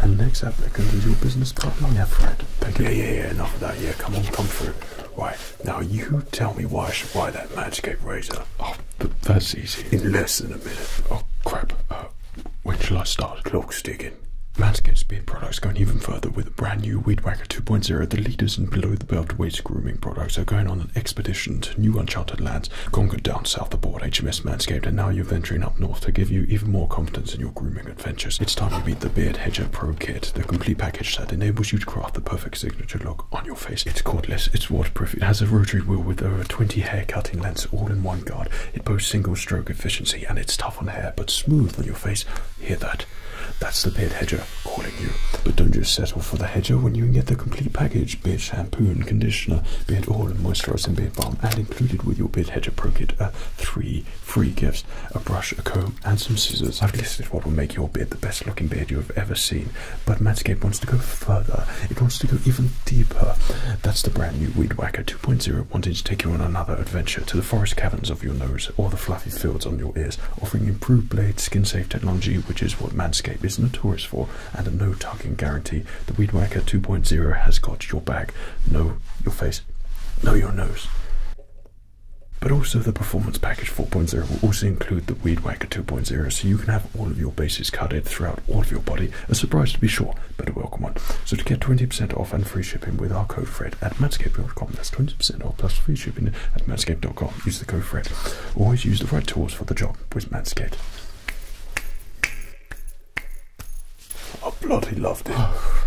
And next applicant is your business partner, yeah, Fred. Thank you. Yeah, yeah, yeah. Enough of that. Yeah, come on, come through. Right now, you tell me why I should buy that Manscaped razor. Oh, that's easy. In less than a minute. Oh crap. Uh, when shall I start? Clock's ticking. Manscaped's beard products going even further with a brand new Weed Whacker 2.0. The leaders in below the belt waist grooming products are going on an expedition to new uncharted lands, conquered down south aboard HMS Manscaped, and now you're venturing up north to give you even more confidence in your grooming adventures, it's time to meet the Beard Hedger Pro Kit, the complete package that enables you to craft the perfect signature look on your face. It's cordless, it's waterproof, it has a rotary wheel with over 20 hair cutting lengths all in one guard, it boasts single stroke efficiency, and it's tough on hair but smooth on your face. Hear that? That's the Beard Hedger calling you. But don't just settle for the hedger when you can get the complete package beard shampoo and conditioner, beard oil and moisturizing beard balm, included with your bid hedger pro kit are uh, three free gifts a brush, a comb, and some scissors. I've listed what will make your bid the best looking bid you have ever seen, but Manscape wants to go further, it wants to go even deeper. That's the brand new Weedwacker 2.0, wanting to take you on another adventure to the forest caverns of your nose or the fluffy fields on your ears, offering improved blade skin safe technology, which is what Manscape is notorious for, and a no tugging guarantee. The Weedwacker 2.0 has got your your back, know your face, No, your nose. But also, the Performance Package 4.0 will also include the Weed wacker 2.0, so you can have all of your bases covered throughout all of your body. A surprise to be sure, but a welcome one. So, to get 20% off and free shipping with our code FRED at manscaped.com, that's 20% off plus free shipping at manscaped.com. Use the code FRED. Always use the right tools for the job with Matscape. I bloody loved it.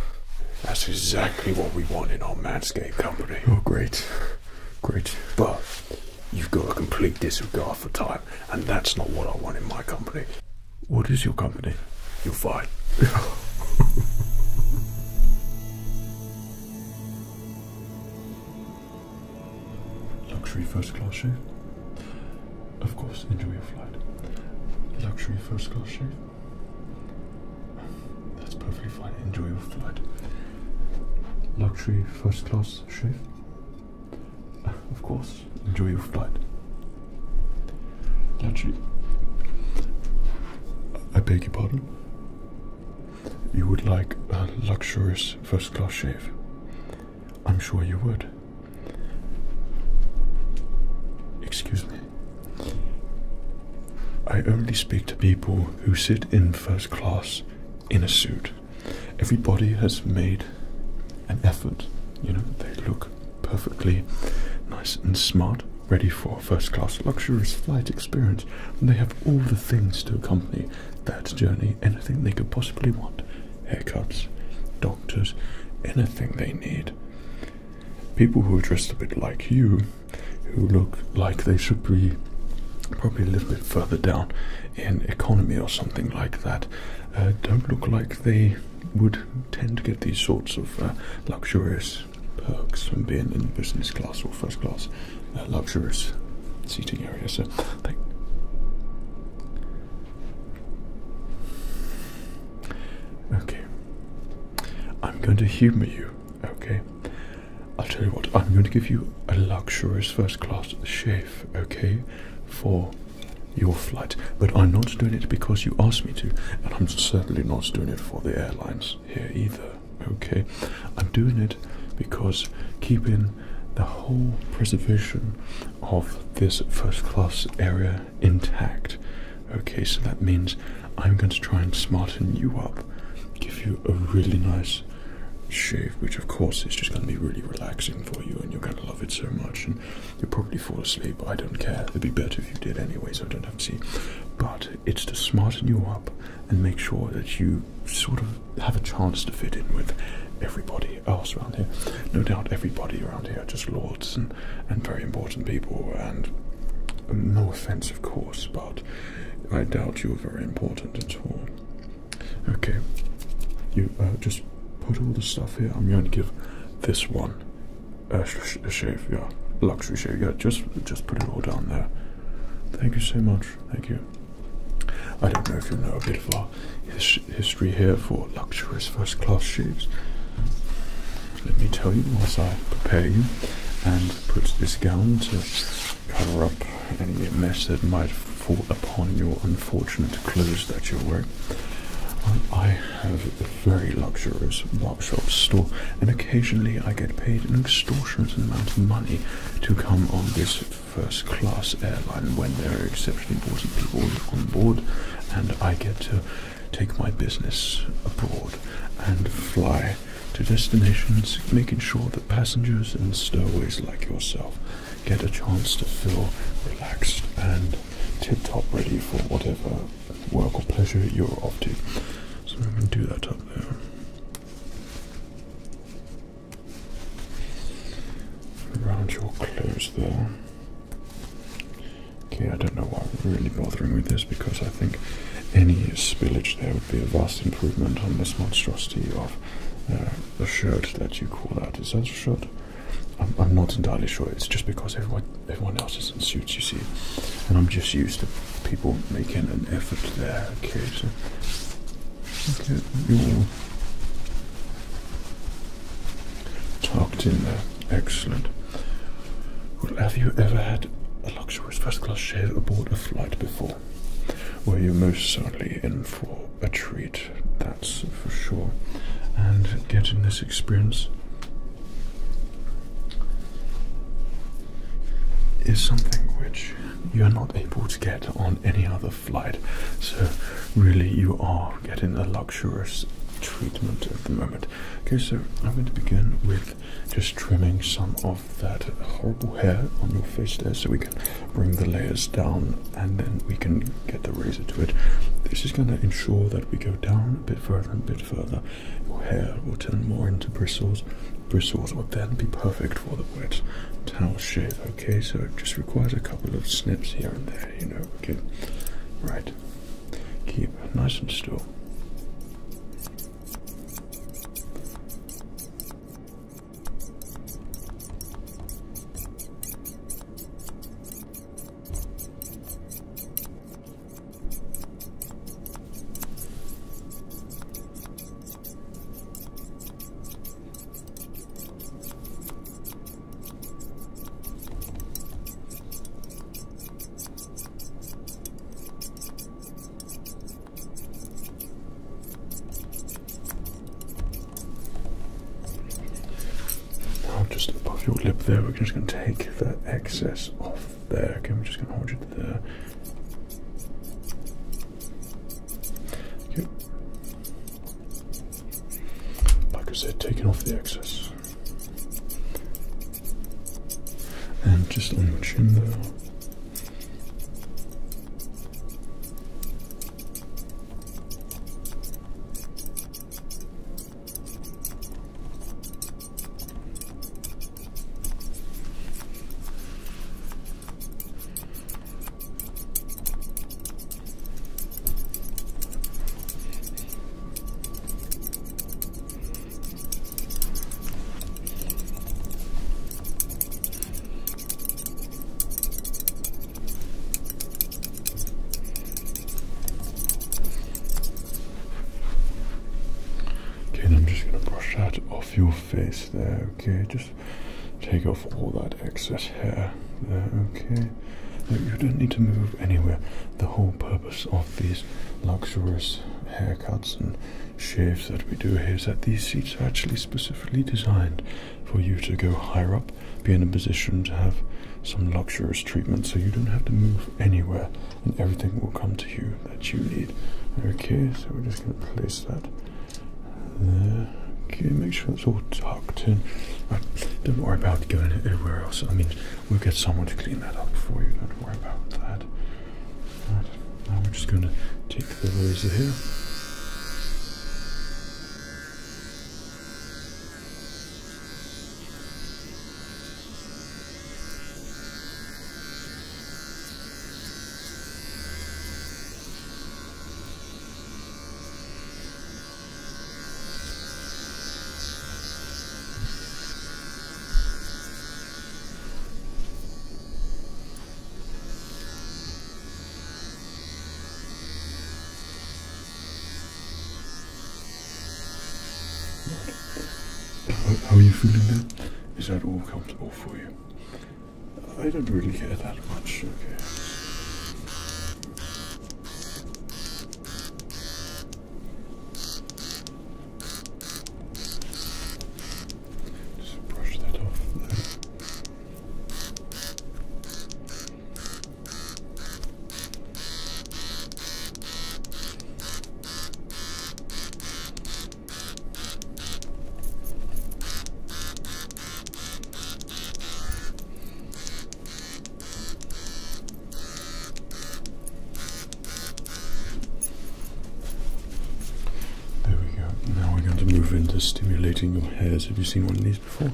That's exactly what we want in our Manscaped company. Oh, great. Great. But you've got a complete disregard for time, and that's not what I want in my company. What is your company? You're fine. Luxury first class shave? Of course, enjoy your flight. Luxury first class shave. That's perfectly fine. Enjoy your flight. Luxury first class shave. Of course, enjoy your flight. Luxury. I beg your pardon. You would like a luxurious first class shave. I'm sure you would. Excuse me. I only speak to people who sit in first class in a suit. Everybody has made an effort. You know, they look perfectly nice and smart, ready for a first class luxurious flight experience. And they have all the things to accompany that journey, anything they could possibly want haircuts, dogs doctors, anything they need. People who are dressed a bit like you, who look like they should be probably a little bit further down in economy or something like that, uh, don't look like they would tend to get these sorts of uh, luxurious perks from being in business class or first class uh, luxurious seating area. So, Okay. I'm going to humor you, okay? I'll tell you what, I'm going to give you a luxurious first class shave, okay? For your flight. But I'm not doing it because you asked me to, and I'm certainly not doing it for the airlines here either, okay? I'm doing it because keeping the whole preservation of this first class area intact. Okay, so that means I'm going to try and smarten you up, give you a really nice shave, which of course is just going to be really relaxing for you, and you're going to love it so much, and you'll probably fall asleep. I don't care. It'd be better if you did anyway, so I don't have to see. But it's to smarten you up and make sure that you sort of have a chance to fit in with everybody else around here. No doubt everybody around here are just lords and and very important people. And no offense, of course, but I doubt you're very important at all. Okay, you uh, just put all the stuff here. I'm going to give this one a, shave. Yeah, luxury shave. Yeah, just just put it all down there. Thank you so much. Thank you. I don't know if you know a bit of history here for luxurious first class seats. Let me tell you whilst I prepare you and put this gown to cover up any mess that might fall upon your unfortunate clothes that you wear. Um, I have a very luxurious workshop store, and occasionally I get paid an extortionate amount of money to come on this first class airline when there are exceptionally important people on board and I get to take my business abroad and fly to destinations, making sure that passengers and stowaways like yourself get a chance to feel relaxed and tip top ready for whatever work or pleasure you're off to. So I'm going to do that up there. Around your clothes there. Okay, I don't know why we're really bothering with this because I think any spillage there would be a vast improvement on this monstrosity of a uh, shirt that you call out. Is that a shirt? I'm, not entirely sure. It's just because everyone, everyone else is in suits, you see. And I'm just used to people making an effort there. Okay, so. Okay, you Talked in there. Excellent. have you ever had a luxurious first class chair aboard a flight before? Well, you're most certainly in for a treat, that's for sure. And getting this experience is something which you're not able to get on any other flight. So, really, you are getting a luxurious treatment at the moment. Okay, so I'm going to begin with just trimming some of that horrible hair on your face there so we can bring the layers down and then we can get the razor to it. This is going to ensure that we go down a bit further and a bit further. Your hair will turn more into bristles. Bristles will then be perfect for the wet towel shave. Okay, so it just requires a couple of snips here and there you know, okay. Right. Keep nice and still. Now, just above your lip there, we're just going to take the excess off there. Okay, we're just going to hold it there. Okay like I said, taking off the excess. And just on your chin there. Okay, I'm just going to brush that off your face there. Okay, just take off all that excess hair. Uh, okay. you don't need to move anywhere. The whole purpose of these luxurious haircuts and shaves that we do here is that these seats are actually specifically designed for you to go higher up, be in a position to have some luxurious treatment so you don't have to move anywhere and everything will come to you that you need. Okay, so we're just going to place that there. Okay, make sure it's all tucked in. Don't worry about going anywhere else. I mean, we'll get someone to clean that up for you. Don't worry about that. Now we're just going to take the laser here. How are you feeling now? Is that all comfortable for you? I don't really care that much, just brush that off. There we go. Now we're going to move into stimulating your hairs. Have you seen one of these before?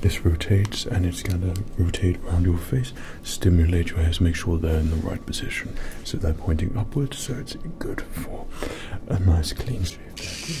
This rotates and it's going to rotate around your face, stimulate your hairs, make sure they're in the right position. So they're pointing upwards, so it's good for a nice clean shave.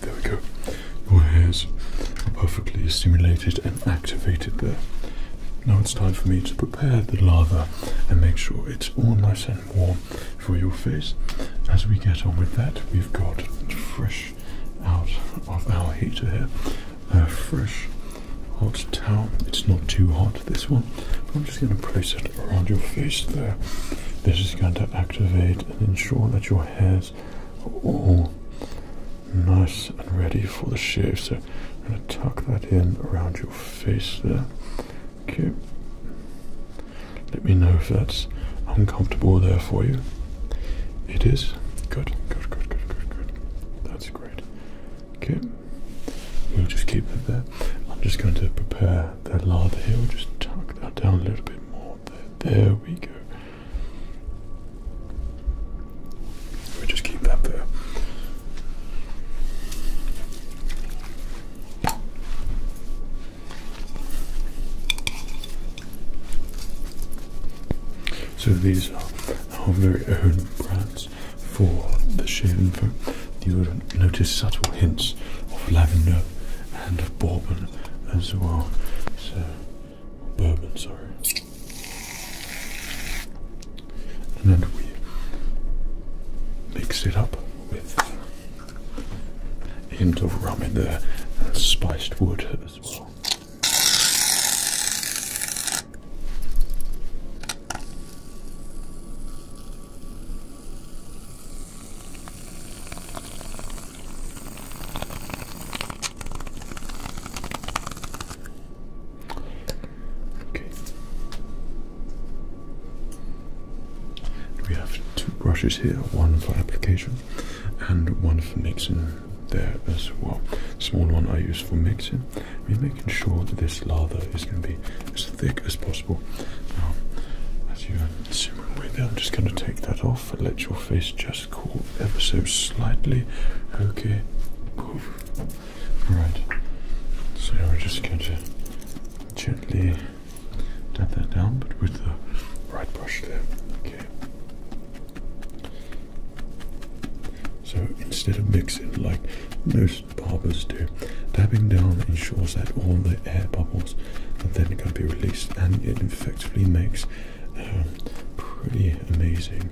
There we go. Your hairs are perfectly stimulated and activated there. Now it's time for me to prepare the lava and make sure it's all nice and warm for your face. As we get on with that, we've got fresh out of our heater here. A fresh hot towel. It's not too hot, this one. I'm just going to place it around your face there. This is going to activate and ensure that your hairs are all nice and ready for the shave. So I'm going to tuck that in around your face there. Okay. Let me know if that's uncomfortable there for you. It is. Good, good, good, good, good, good. That's great. Okay, we'll just keep it there. I'm just going to prepare the lather here. We'll just tuck that down a little bit more. There, we go. we just keep that there. So these are our very own brands for the shaving foam, you will notice subtle hints of lavender and of bourbon as well. So, bourbon, sorry. And then we mix it up with a hint of rum in there and spiced wood as well. Okay. We have two brushes here, one for application and one for mixing there as well. Small one I use for mixing. we making sure that this lather is going to be as thick as possible. Now, as you are simmer away there, I'm just going to take that off and let your face just cool ever so slightly. Okay. Right. So we're just going to gently dab that down, but with the right brush there. Okay. So instead of mixing like most barbers do, dabbing down ensures that all the air bubbles are then going to be released and it effectively makes um, pretty amazing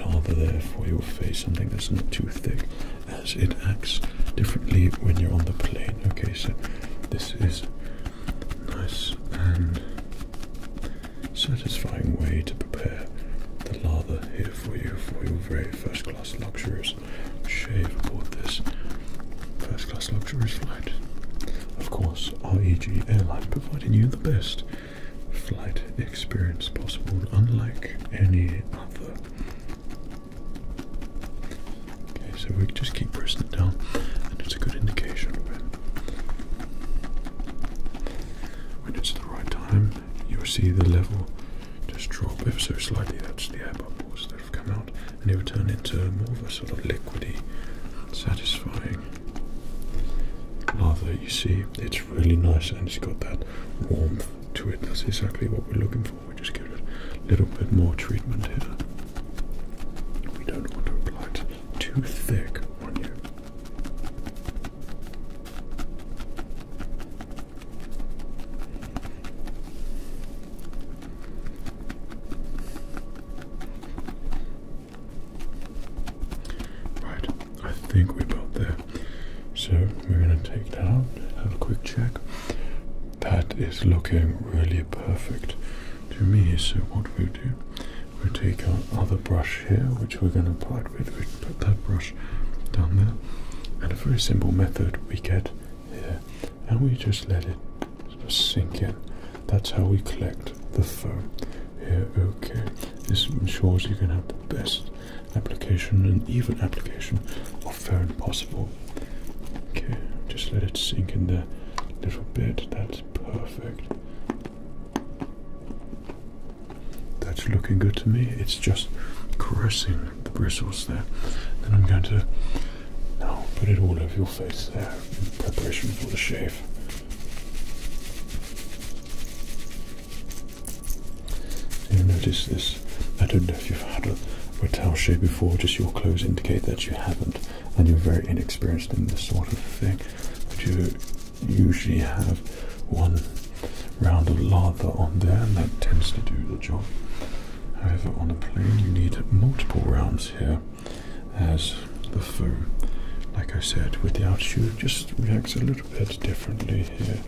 lava there for your face, something that's not too thick as it acts differently when you're on the plane. Okay, so this is nice and satisfying way to prepare the lather here for you for your very first class luxurious shave aboard this first class luxurious flight. Of course, REG Airline providing you the best flight experience possible, unlike any other. Okay, so we just keep pressing it down, and it's a good indication when when it's the right time you'll see the level just drop ever so slightly. That's the air bubbles that have come out, and it will turn into more of a sort of liquidy, satisfying lava. you see, it's really nice, and it's got that warmth to it. That's exactly what we're looking for. We just give it a little bit more treatment here. We don't want to apply it too thick on you. Right, I think we're about there. So we're going to take that out, have a quick check. That is looking really perfect to me. So, what we'll do, we'll take our other brush here, which we're going to apply we put that brush down there, and a very simple method we get here, and we just let it sink in. That's how we collect the foam here. Okay, this ensures you can have the best application and even application of foam possible. Okay, just let it sink in there a little bit. That's perfect. That's looking good to me. It's just caressing the bristles there. Then I'm going to now put it all over your face there in preparation for the shave. You notice this. I don't know if you've had a, a shave before, just your clothes indicate that you haven't and you're very inexperienced in this sort of thing. Would you usually have one round of lather on there and that tends to do the job. However, on a plane you need multiple rounds here as the foam, like I said, with the altitude just reacts a little bit differently here.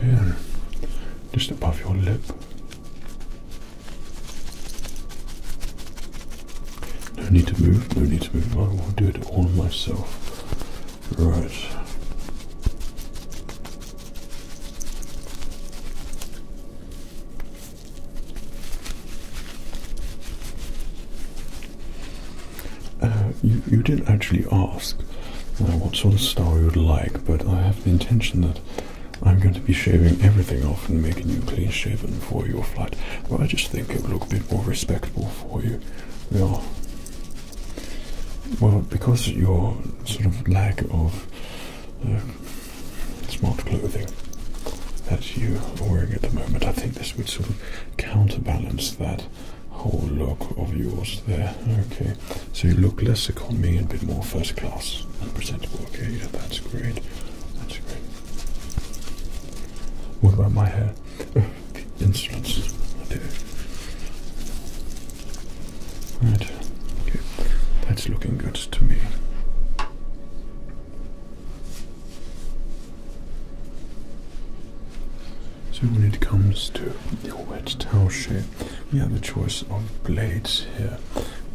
Good. Just above your lip. No need to move, no need to move. I will do it all myself. Right. Uh, you, you did actually ask uh, what sort of star you would like, but I have the intention that I'm going to be shaving everything off and making you clean shaven for your flight. Well, I just think it would look a bit more respectable for you. We Well, because your sort of lack of uh, smart clothing that you are wearing at the moment, I think this would sort of counterbalance that whole look of yours there. Okay, so you look less economy and a bit more first class and presentable. Okay, yeah, that's great. That's great. What about my hair? instruments. Right. That's looking good to me. So when it comes to your wet towel shape, we have a choice of blades here,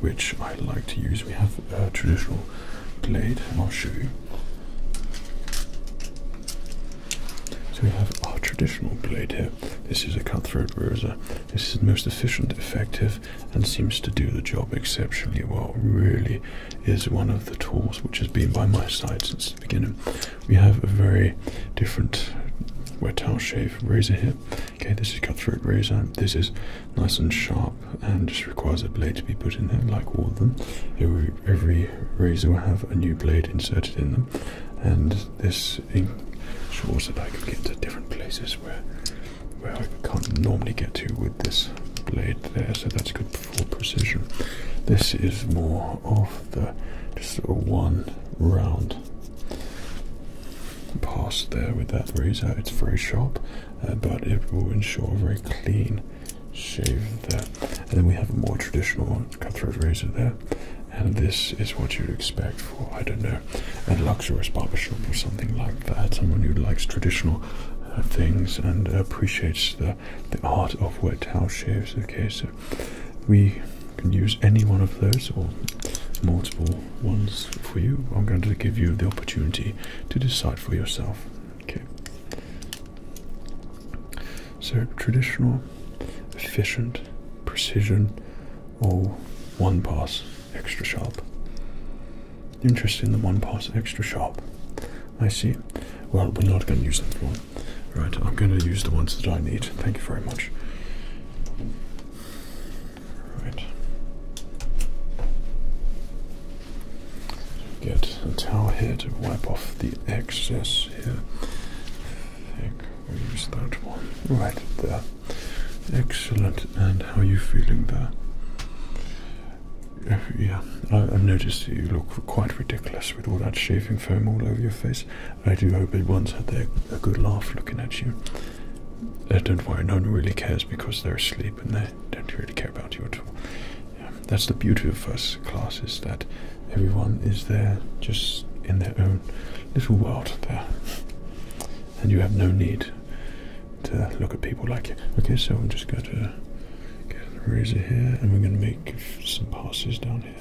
which I like to use. We have uh, traditional blade, and I'll show you. So we have our traditional blade here. This is a cutthroat razor. This is the most efficient, effective, and seems to do the job exceptionally well. Really is one of the tools which has been by my side since the beginning. We have a very different wet towel shave razor here. Okay, this is cutthroat razor. This is nice and sharp and just requires a blade to be put in there like all of them. Every, razor will have a new blade inserted in them and this ensures that I can get to different places where, where I can't normally get to with this blade there so that's good for precision. This is more of the just sort of one round pass there with that razor. It's very sharp uh, but it will ensure a very clean shave there. And then we have a more traditional cutthroat razor there. And this is what you'd expect for, I don't know, a luxurious barber shop or something like that. Someone who likes traditional uh, things and appreciates the, the art of wet towel shaves. Okay, so we can use any one of those or multiple ones for you. I'm going to give you the opportunity to decide for yourself. Okay. So traditional, efficient, precision, or one pass extra sharp. Interest in the one pass extra sharp. I see. Well, we're not going to use that one. Right, I'm going to use the ones that I need. Thank you very much. Right. Get a towel here to wipe off the excess here. think we use that one right there. Excellent. And how are you feeling there? Uh, yeah, I, noticed you look quite ridiculous with all that shaving foam all over your face. I do hope it everyone's had their, a good laugh looking at you. Uh, don't worry, no one really cares because they're asleep and they don't really care about you at all. That's the beauty of first class is that everyone is there just in their own little world there. And you have no need to look at people like you. Okay, so I'm just going to get a razor here and we're going to make some passes down here.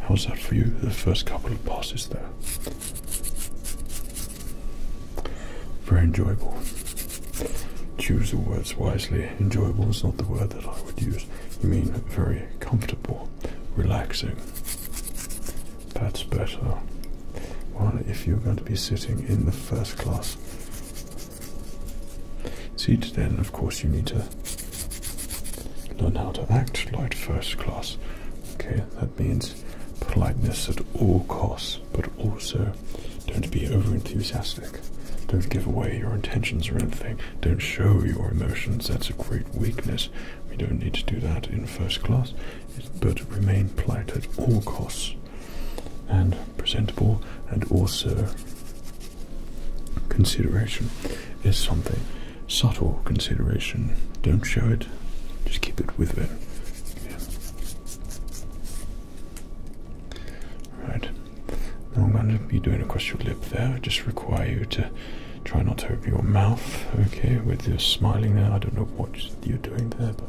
How was that for you? The first couple of passes there. Very enjoyable. Choose the words wisely. Enjoyable is not the word that I would use. You mean very comfortable, relaxing. That's better. Well, if you're going to be sitting in the first class seat, then of course you need to learn how to act like first class. Okay, that means politeness at all costs, but also don't be over enthusiastic. Don't give away your intentions or anything. Don't show your emotions. That's a great weakness. We don't need to do that in first class, but remain polite at all costs and presentable, and also consideration is something subtle consideration. Don't show it, just keep it with it. Right. I'm going to be doing a your lip there. I just require you to try not to open your mouth, okay, with your smiling there. I don't know what you're doing there, but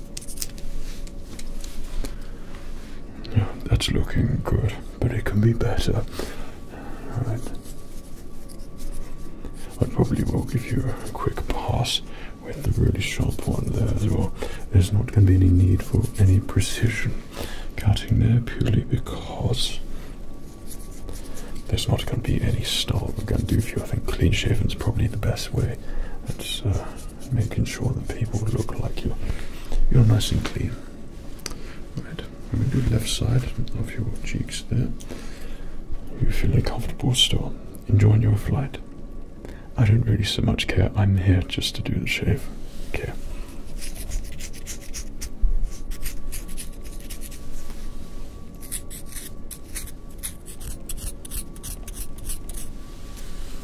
Yeah, that's looking good, but it can be better. Alright. I probably will give you a quick pass with the really sharp one there as well. There's not going to be any need for any precision cutting there purely because there's not going to be any style we're going to do a few. I think clean shaven is probably the best way. That's uh, making sure the people look like you. You're nice and clean. Right, I'm going to do left side of your cheeks there. You feel comfortable still, enjoying your flight. I don't really so much care. I'm here just to do the shave. Okay.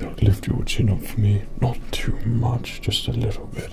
Now lift your chin up for me, not too much, just a little bit.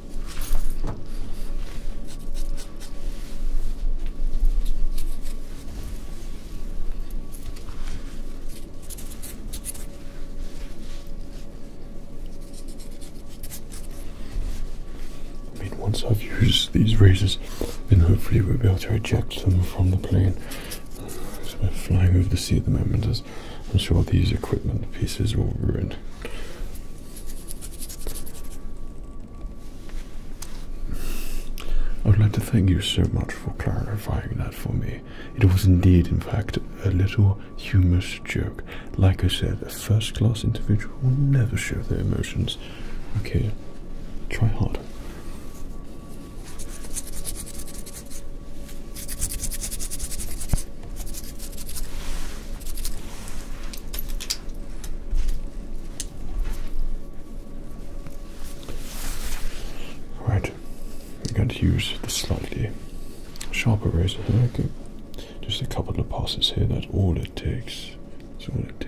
I mean, once I've used these razors, then hopefully we'll be able to eject them from the plane. we're flying over the sea at the moment, as I'm sure these equipment pieces will ruin. I would like to thank you so much for clarifying that for me. It was indeed, in fact, a little humorous joke. Like I said, a first class individual never show their emotions. Okay, try hard. Right, I'm going to use the slightly sharper razor Just a couple of passes here, that's all it takes. That's all it takes.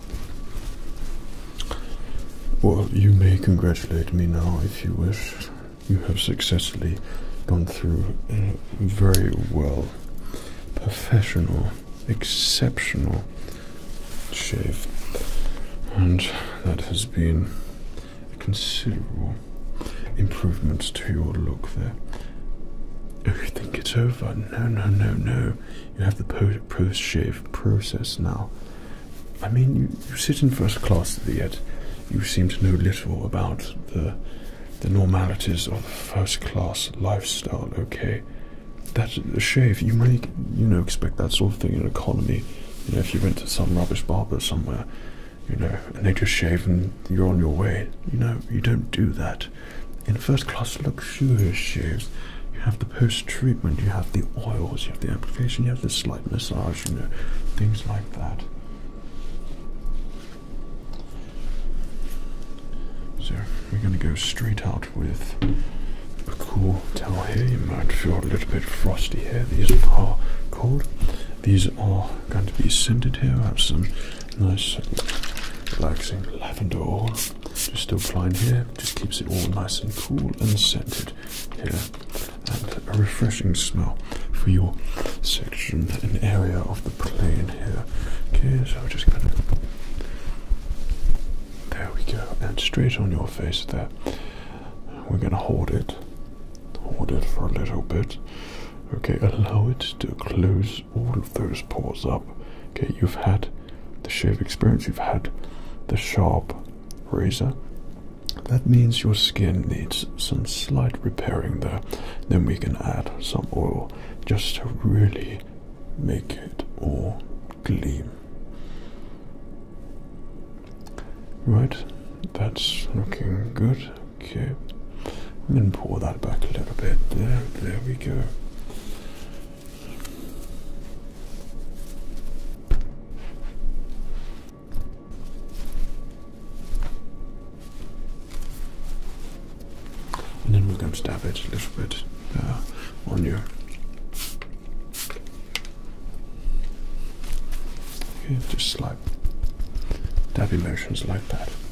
Well, you may congratulate me now if you wish. You have successfully gone through a very well, professional, exceptional shave, and that has been a considerable improvement to your look there. Oh, you think it's over? No, no, no, no you have the post-shave process now. I mean, you, you sit in first class, yet you seem to know little about the the normalities of first-class lifestyle. Okay, that a shave you might you know expect that sort of thing in an economy. You know, if you went to some rubbish barber somewhere, you know, and they just shave and you're on your way. You know, you don't do that in first class luxurious shaves, you have the post treatment, you have the oils, you have the application, you have the slight massage, you know, things like that. So we're going to go straight out with a cool towel here. You might feel a little bit frosty here. These are cold. These are going to be scented here. I have some nice relaxing lavender oil. Just still applying here, just keeps it all nice and cool and scented here, and a refreshing smell for your section and area of the plane here. Okay, so I'm just gonna. There we go, and straight on your face there. We're gonna hold it, hold it for a little bit. Okay, allow it to close all of those pores up. Okay, you've had the shave experience, you've had the sharp razor. That means your skin needs some slight repairing there. Then we can add some oil just to really make it all gleam. Right, that's looking good. Okay, and then pour that back a little bit. There, there we go. And then we're going to dab it a little bit uh, on your. Okay, just like dabbing motions like that.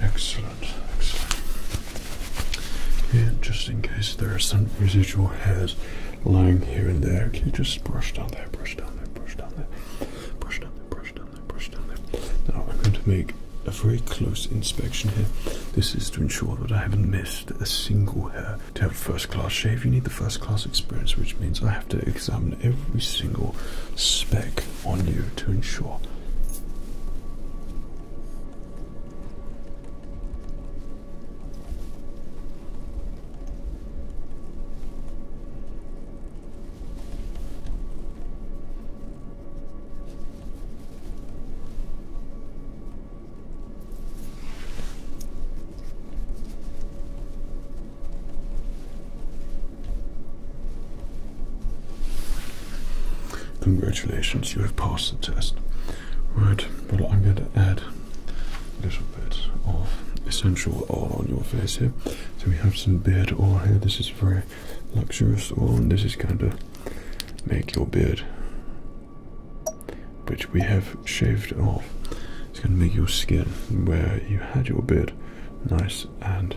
Excellent, excellent. Here, just in case there are some residual hairs lying here and there, can you just brush down there, brush down there, brush down there, brush down there, brush down there, brush down there. Now I'm going to make a very close inspection here. This is to ensure that I haven't missed a single hair. To have a first class shave, you need the first class experience, which means I have to examine every single speck on you to ensure Congratulations, you have passed the test. Right, well, I'm going to add a little bit of essential oil on your face here. So we have some beard oil here. This is very luxurious oil, and this is going to make your beard, which we have shaved off, it's going to make your skin where you had your beard nice and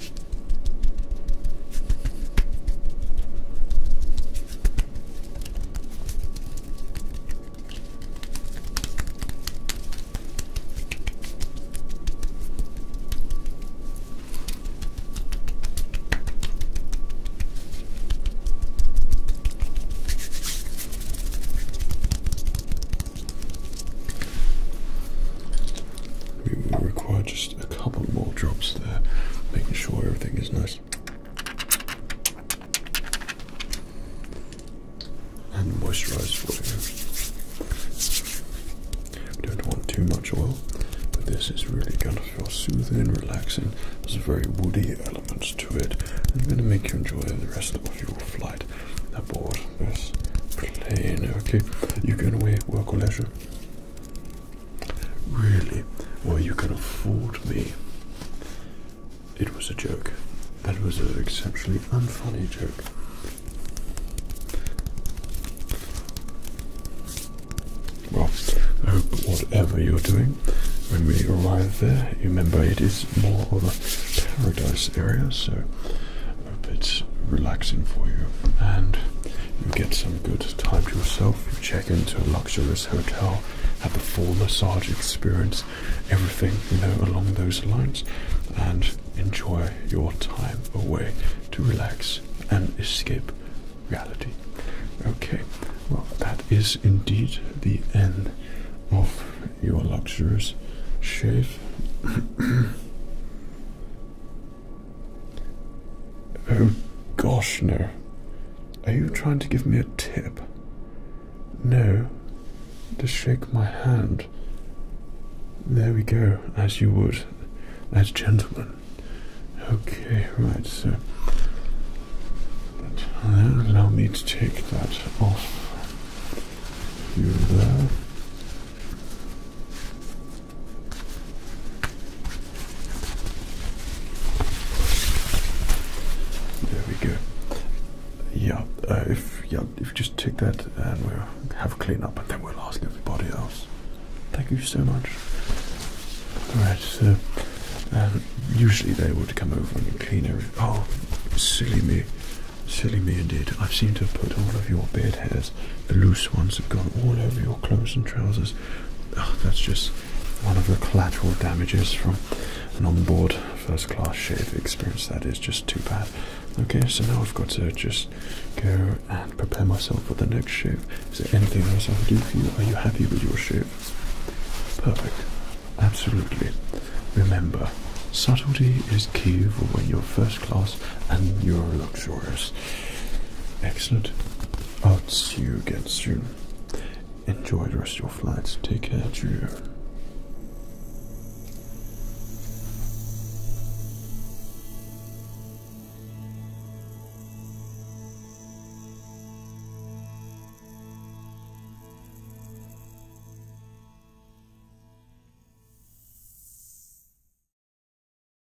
We will require just a couple more drops there, making sure everything is nice and moisturized for you. We don't want too much oil, but this is really going to feel soothing and relaxing. There's very woody elements to it. I'm going to make you enjoy the rest of your flight aboard this plane. Okay, you going away at work or leisure? Really? Well, you can afford me. It was a joke. That was an exceptionally unfunny joke. Well, I hope whatever you're doing, when we arrive there, remember it is more of a paradise area, so I hope it's relaxing for you and you get some some good time to yourself. You check into a luxurious hotel, have the full massage experience, everything you know along those lines, and enjoy your time away to relax and escape reality. Okay, well, that is indeed the end of your luxurious shave. Oh gosh, no. Are you trying to give me a tip? No. Just shake my hand. There we go, as you would, as gentlemen. Okay, right, so. Uh, allow me to take that off you there. There we go. Yeah, uh, if yeah, if you just take that and we'll have a clean up, and then we'll ask everybody else. Thank you so much. All right, uh, usually they would come over and clean everything. Oh, silly me, silly me indeed. I have seemed to have put all of your bed hairs, the loose ones, have gone all over your clothes and trousers. Oh, that's just one of the collateral damages from an onboard first class shave experience. That is just too bad. Okay, so now I've got to just go and prepare myself for the next shave. Is there anything else I can do for you? Are you happy with your shave? Perfect. Absolutely. Remember, subtlety is key for when you're first class and you're luxurious. Excellent. I'll see you again soon. Enjoy the rest of your flights. Take care, Julia.